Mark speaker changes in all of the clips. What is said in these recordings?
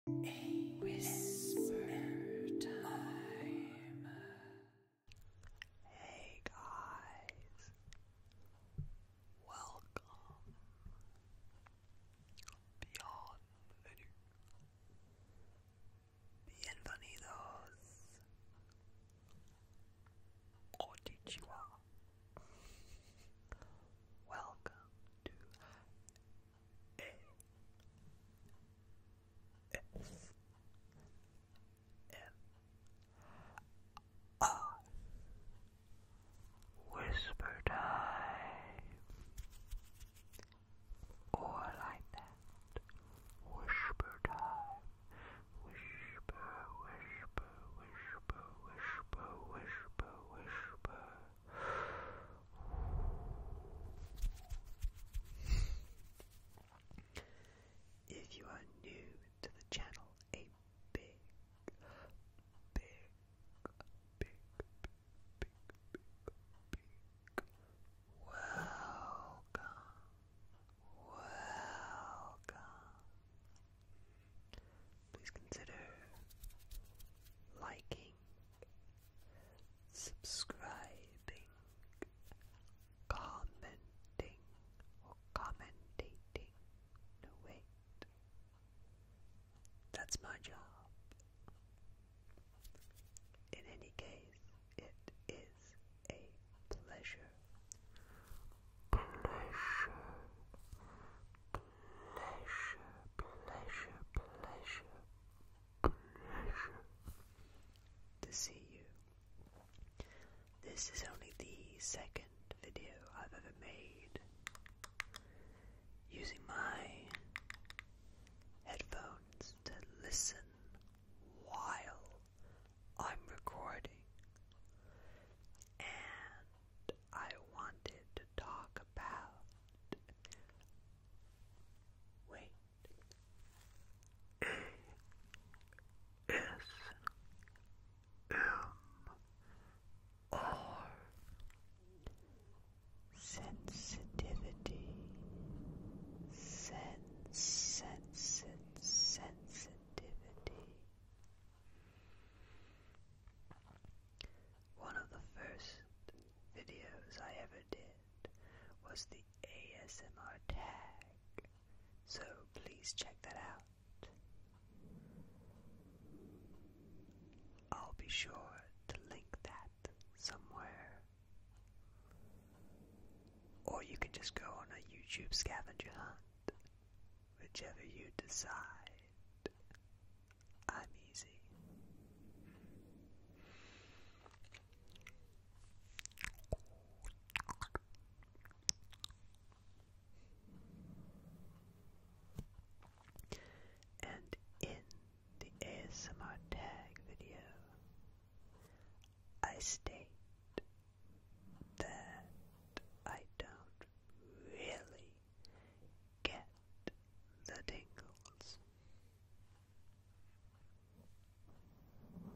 Speaker 1: Hey guys, welcome beyond the new. Bienvenidos. Konnichiwa. Welcome to a-S-M-R Whisper time or like that Whisper time Whisper Whisper Whisper Whisper Whisper Whisper if you are new to the channel, a big, big, big, big, big, big, big welcome, welcome. Please consider liking subscribing, commenting, commentating. No, wait. That's my job. In any case, it is a pleasure. Pleasure pleasure, pleasure, pleasure, pleasure to see you. This is only the second video I've ever made using my headphones to listen while I'm recording. And I wanted to talk about. Wait. A S M R sensitivity sense sense sensitivity one of the first videos I ever did was the ASMR tag, so please check that out. I'll be sure to link that somewhere. Or you can just go on a YouTube scavenger hunt, whichever you decide. I'm easy. And in the ASMR tag video, I state that I don't really get the tingles. But, but,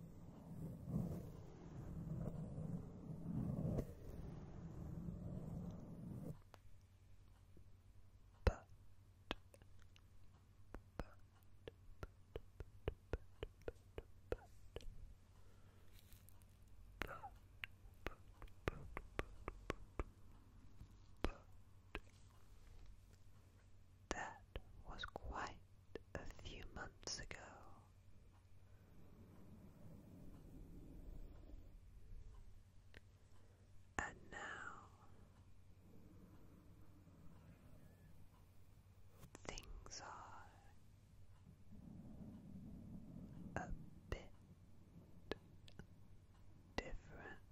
Speaker 1: but, but, but, but, but, that was quite a few months ago. And now things are a bit different.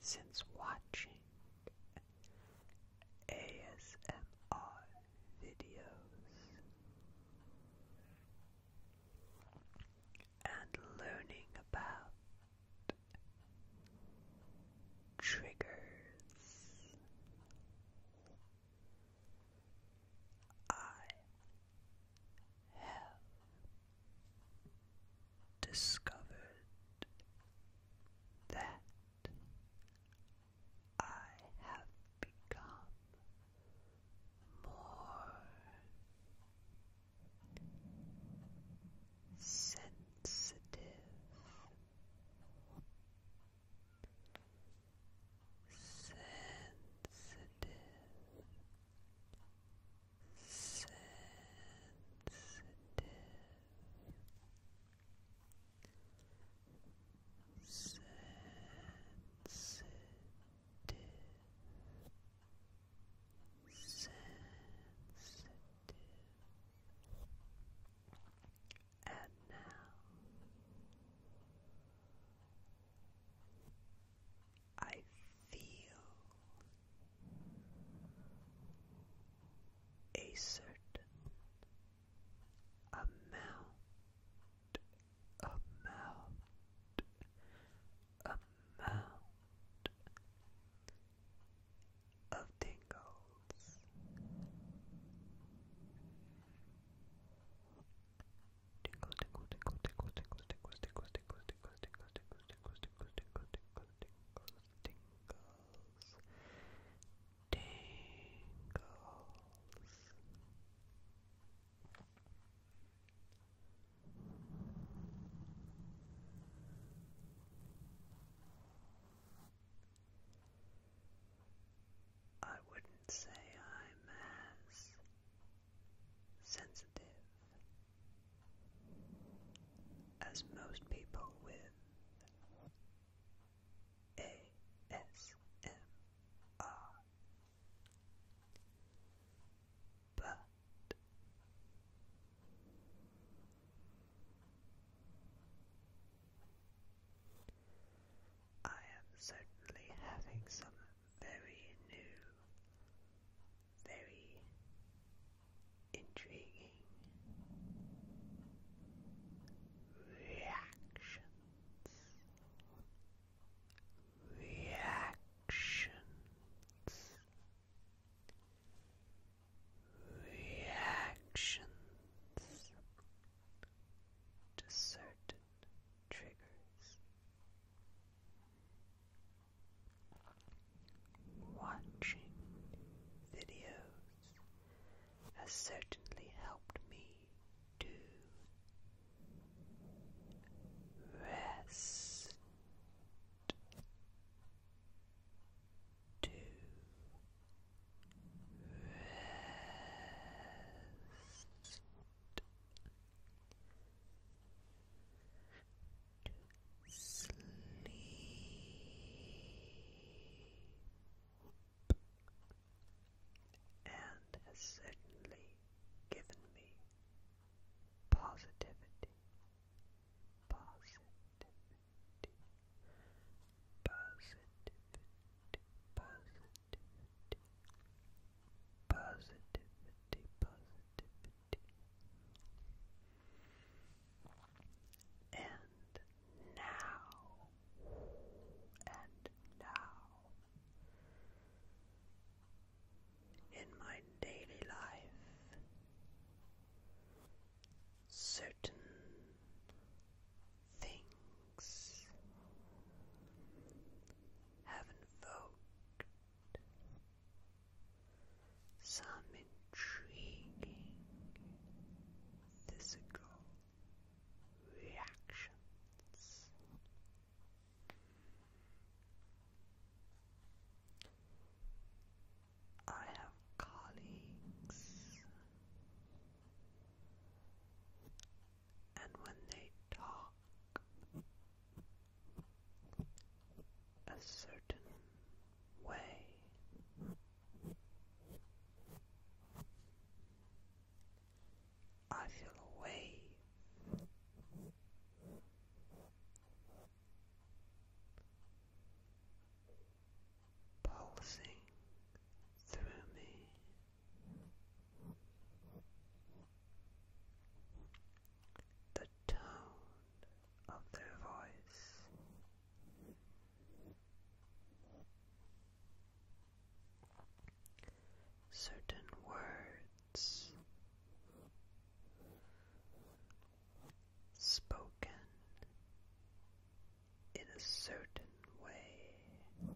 Speaker 1: Since watching ASMR videos and learning about triggers. I have discovered that I have become more sensitive sensitive, sensitive, sensitive. Sensitive, and now I feel a certain amount, amount, amount of tingles. tingles, tingles, tingles, tingles, tingles, tingles, tingles, tingles, tingles, tingles, tingles, tingles, tingles, tingles, tingles, tingles, tingles I wouldn't say I'm as sensitive as most people with ASMR, but I am certainly having some very new, very intriguing reactions. Reactions reactions to certain triggers. Watching videos has certainly helped me to rest to rest. Sleep. And has certainly given me positivity, positivity, positivity, positivity, positivity, positivity. And now, and now, in my daily life, certain things have invoked some intriguing physical reactions. I have colleagues, and when they talk, a certain way. I feel a wave pulsing through me. The tone of their voice. Certain words spoken in a certain way.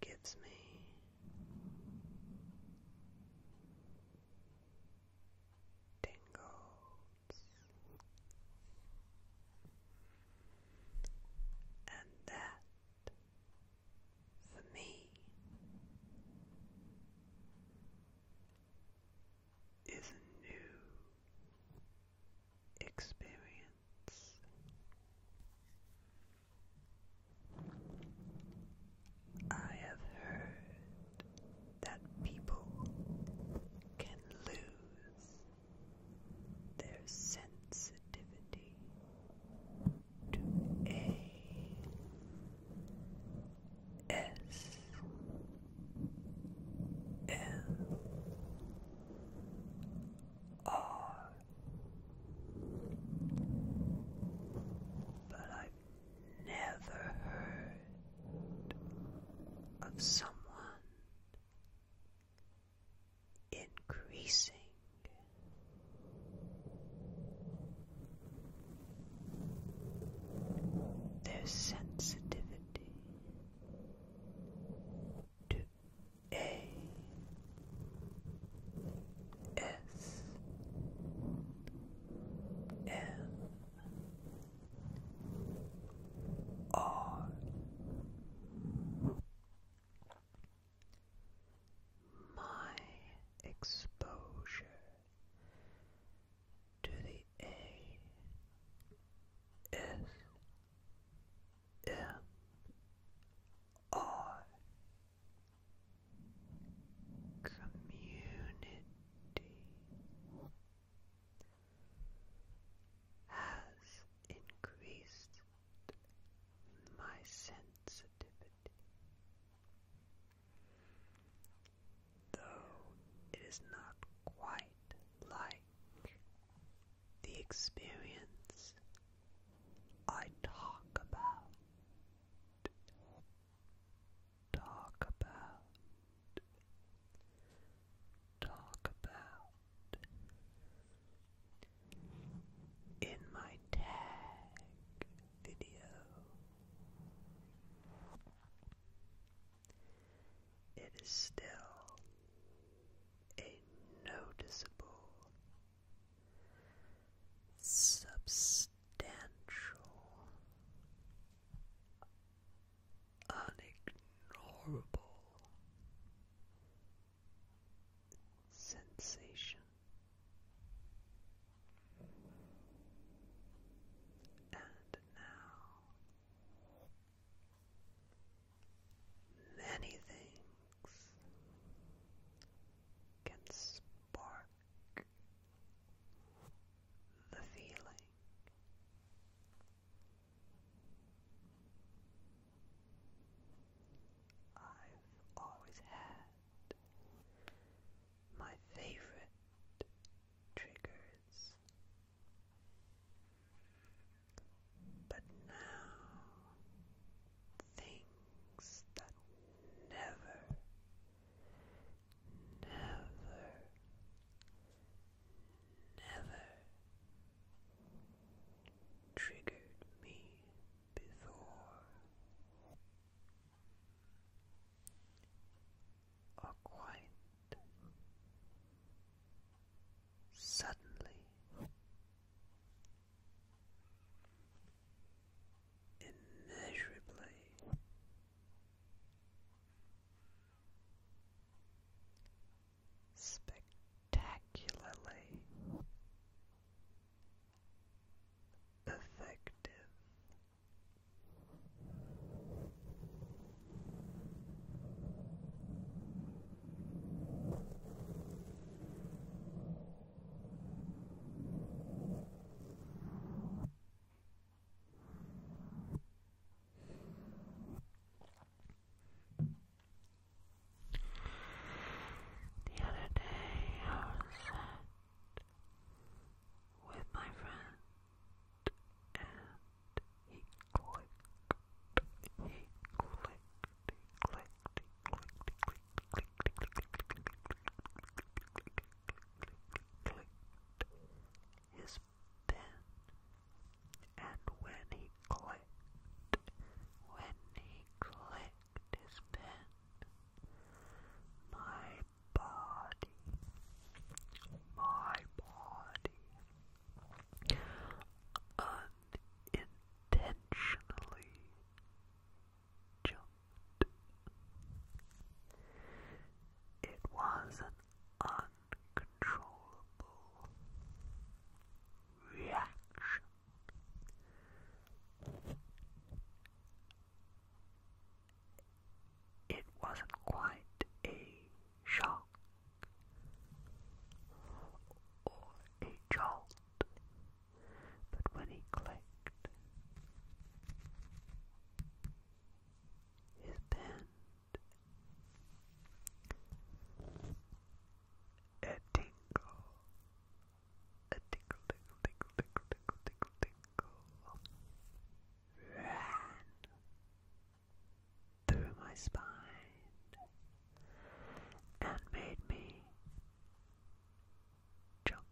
Speaker 1: Gives me tingles, and that for me is a new experience. I have heard that people can lose their sensitivity to A S L R but I've never heard of someone increasing. Their sensitivity to A S M R my exposure to the ASMR community has increased my sensitivity. Though it is not quite like the experience I talk about. Talk about. Talk about in my tag video. It is still a noticeable, substantial, unignorable sensation and now many things can spark the feeling I've always had. My favorite triggers. But now, things that never, never, never triggered me before. Or quite suddenly immeasurably spectacularly effective. The other day I was with my friend and he clicked, he clicked, he clicked, he clicked, he clicked, he clicked, clicked, clicked, clicked his pen and when he clicked, when he clicked his pen, my body, my body, unintentionally jumped. It was an uncontrollable reaction. It wasn't quite a shock or a jolt, but when he clicked his band, a tingle, a tingle, tingle, tingle, tingle, tingle, tingle, ran through my spine and made me jump.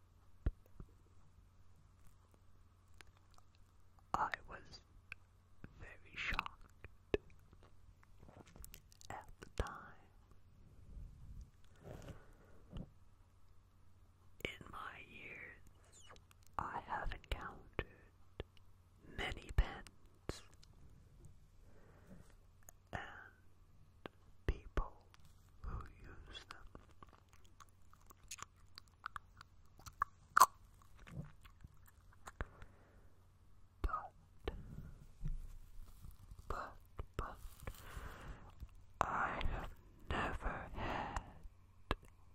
Speaker 1: I was very shocked at the time. In my years, I have encountered many pens and people who use them but, but, but, I have never had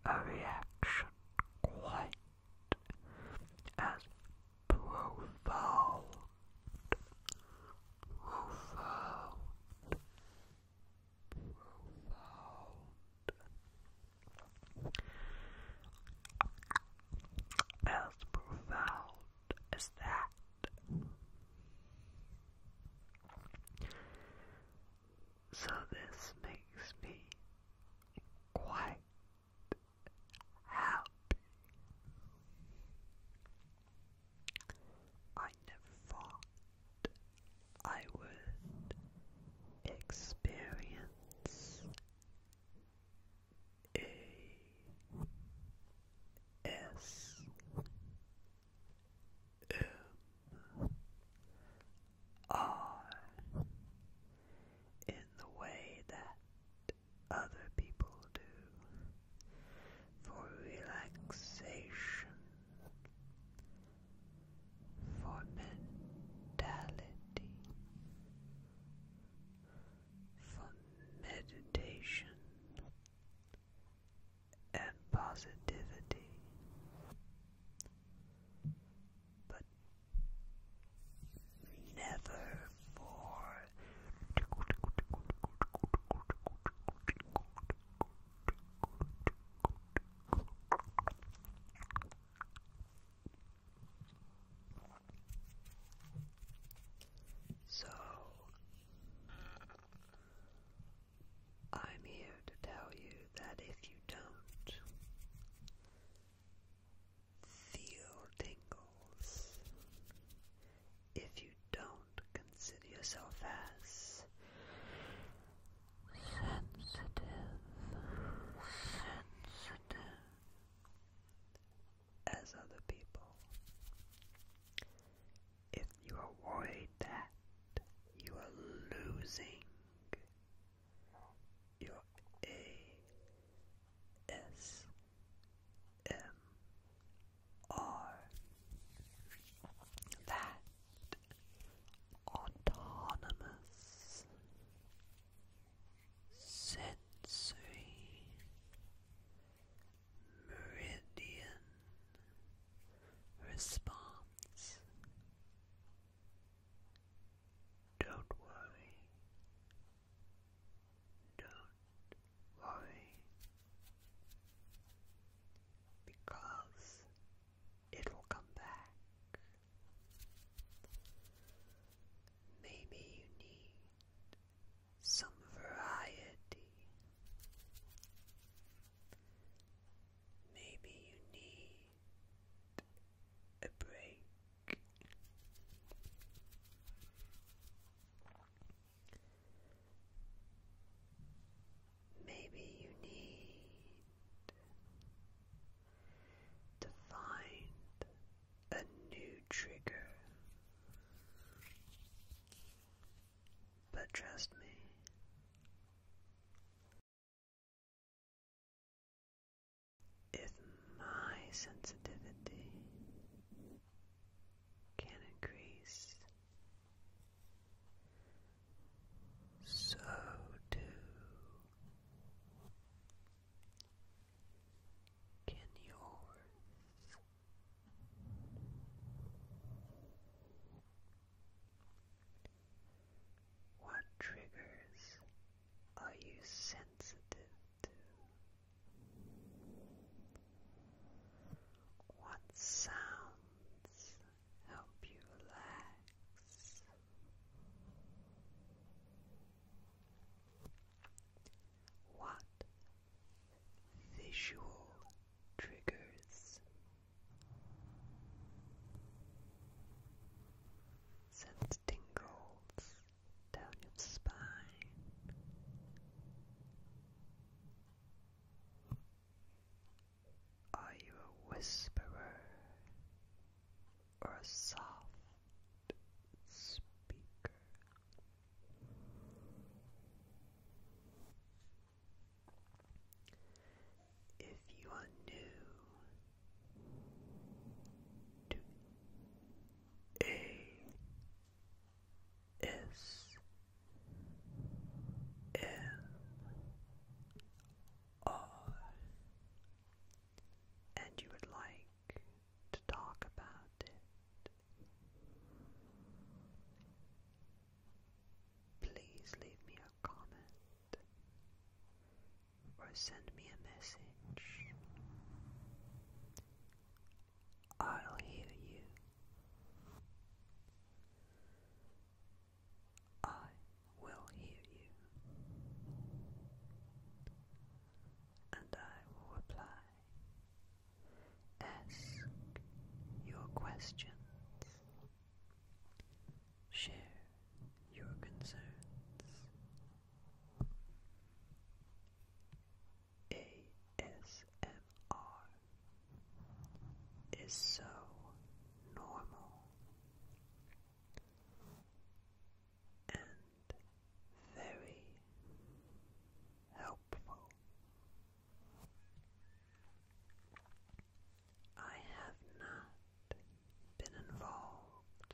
Speaker 1: a reaction quite as profound, profound, profound as profound as that. So, this makes me quite happy. I never thought I would experience a S M R in the way that other people do for relaxation, for mentality for meditation and positivity. But never for so, I'm here to tell you that if you don't feel tingles, if you don't consider yourself as sensitive, sensitive, as other people. If you avoid that you are losing your ASMR, that autonomous sensory meridian response. Don't worry. Don't worry. Because it will come back. Maybe you need some variety. Maybe you need a break. Maybe you need to find a new trigger. But trust me. If my sensitivity can increase, so do can yours. What triggers are you sensitive to? What sounds help you relax? What visual triggers sends tingles down your spine? Are you a whisperer? or a soft speaker. If you are new to A S M R and you would like to talk about it, please leave me a comment or send me a message. I'll hear you. I will hear you, and I will reply. Ask your questions, share your concerns. ASMR is so normal and very helpful. I have not been involved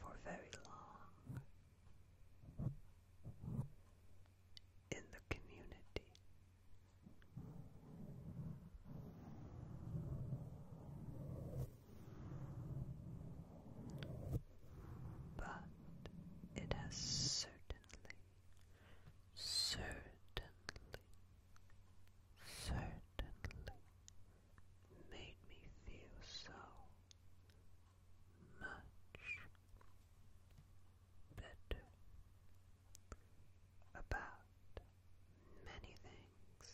Speaker 1: for very long in the community. But it has certainly, certainly, certainly made me feel so much better about many things.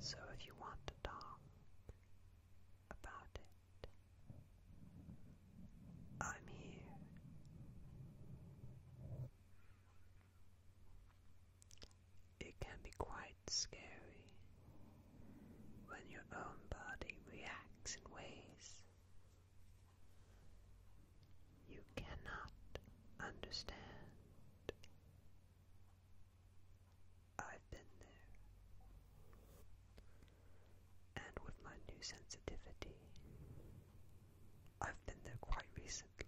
Speaker 1: So if you want to talk about it, I'm here. It can be quite scary when your own body reacts in ways you cannot understand. I've been there. And with my new sensitivity, I've been there quite recently.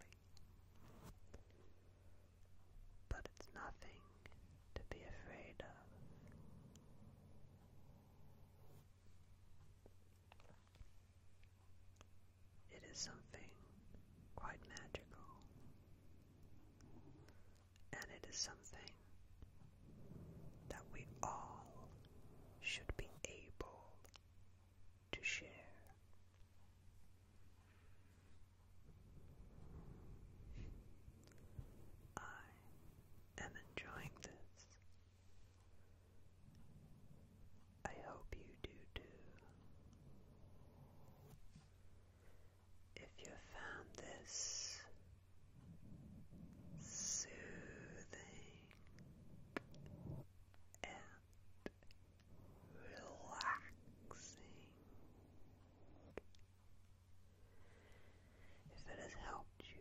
Speaker 1: But it's nothing to be afraid of. It is something quite magical, and it is something that we all should be able to share. I am enjoying this I hope you do too. If you found this soothing and relaxing, if it has helped you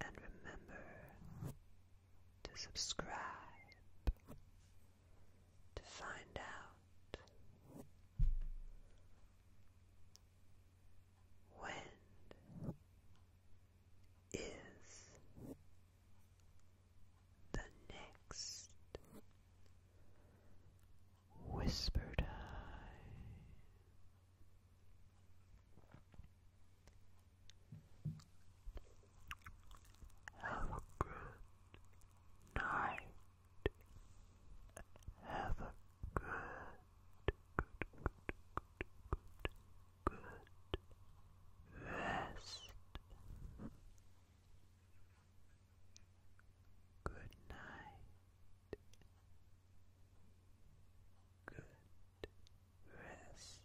Speaker 1: and remember to subscribe to find out when is the next whisper time. Have a good night. Have a good, good, good, good, good rest. Good night. Good rest.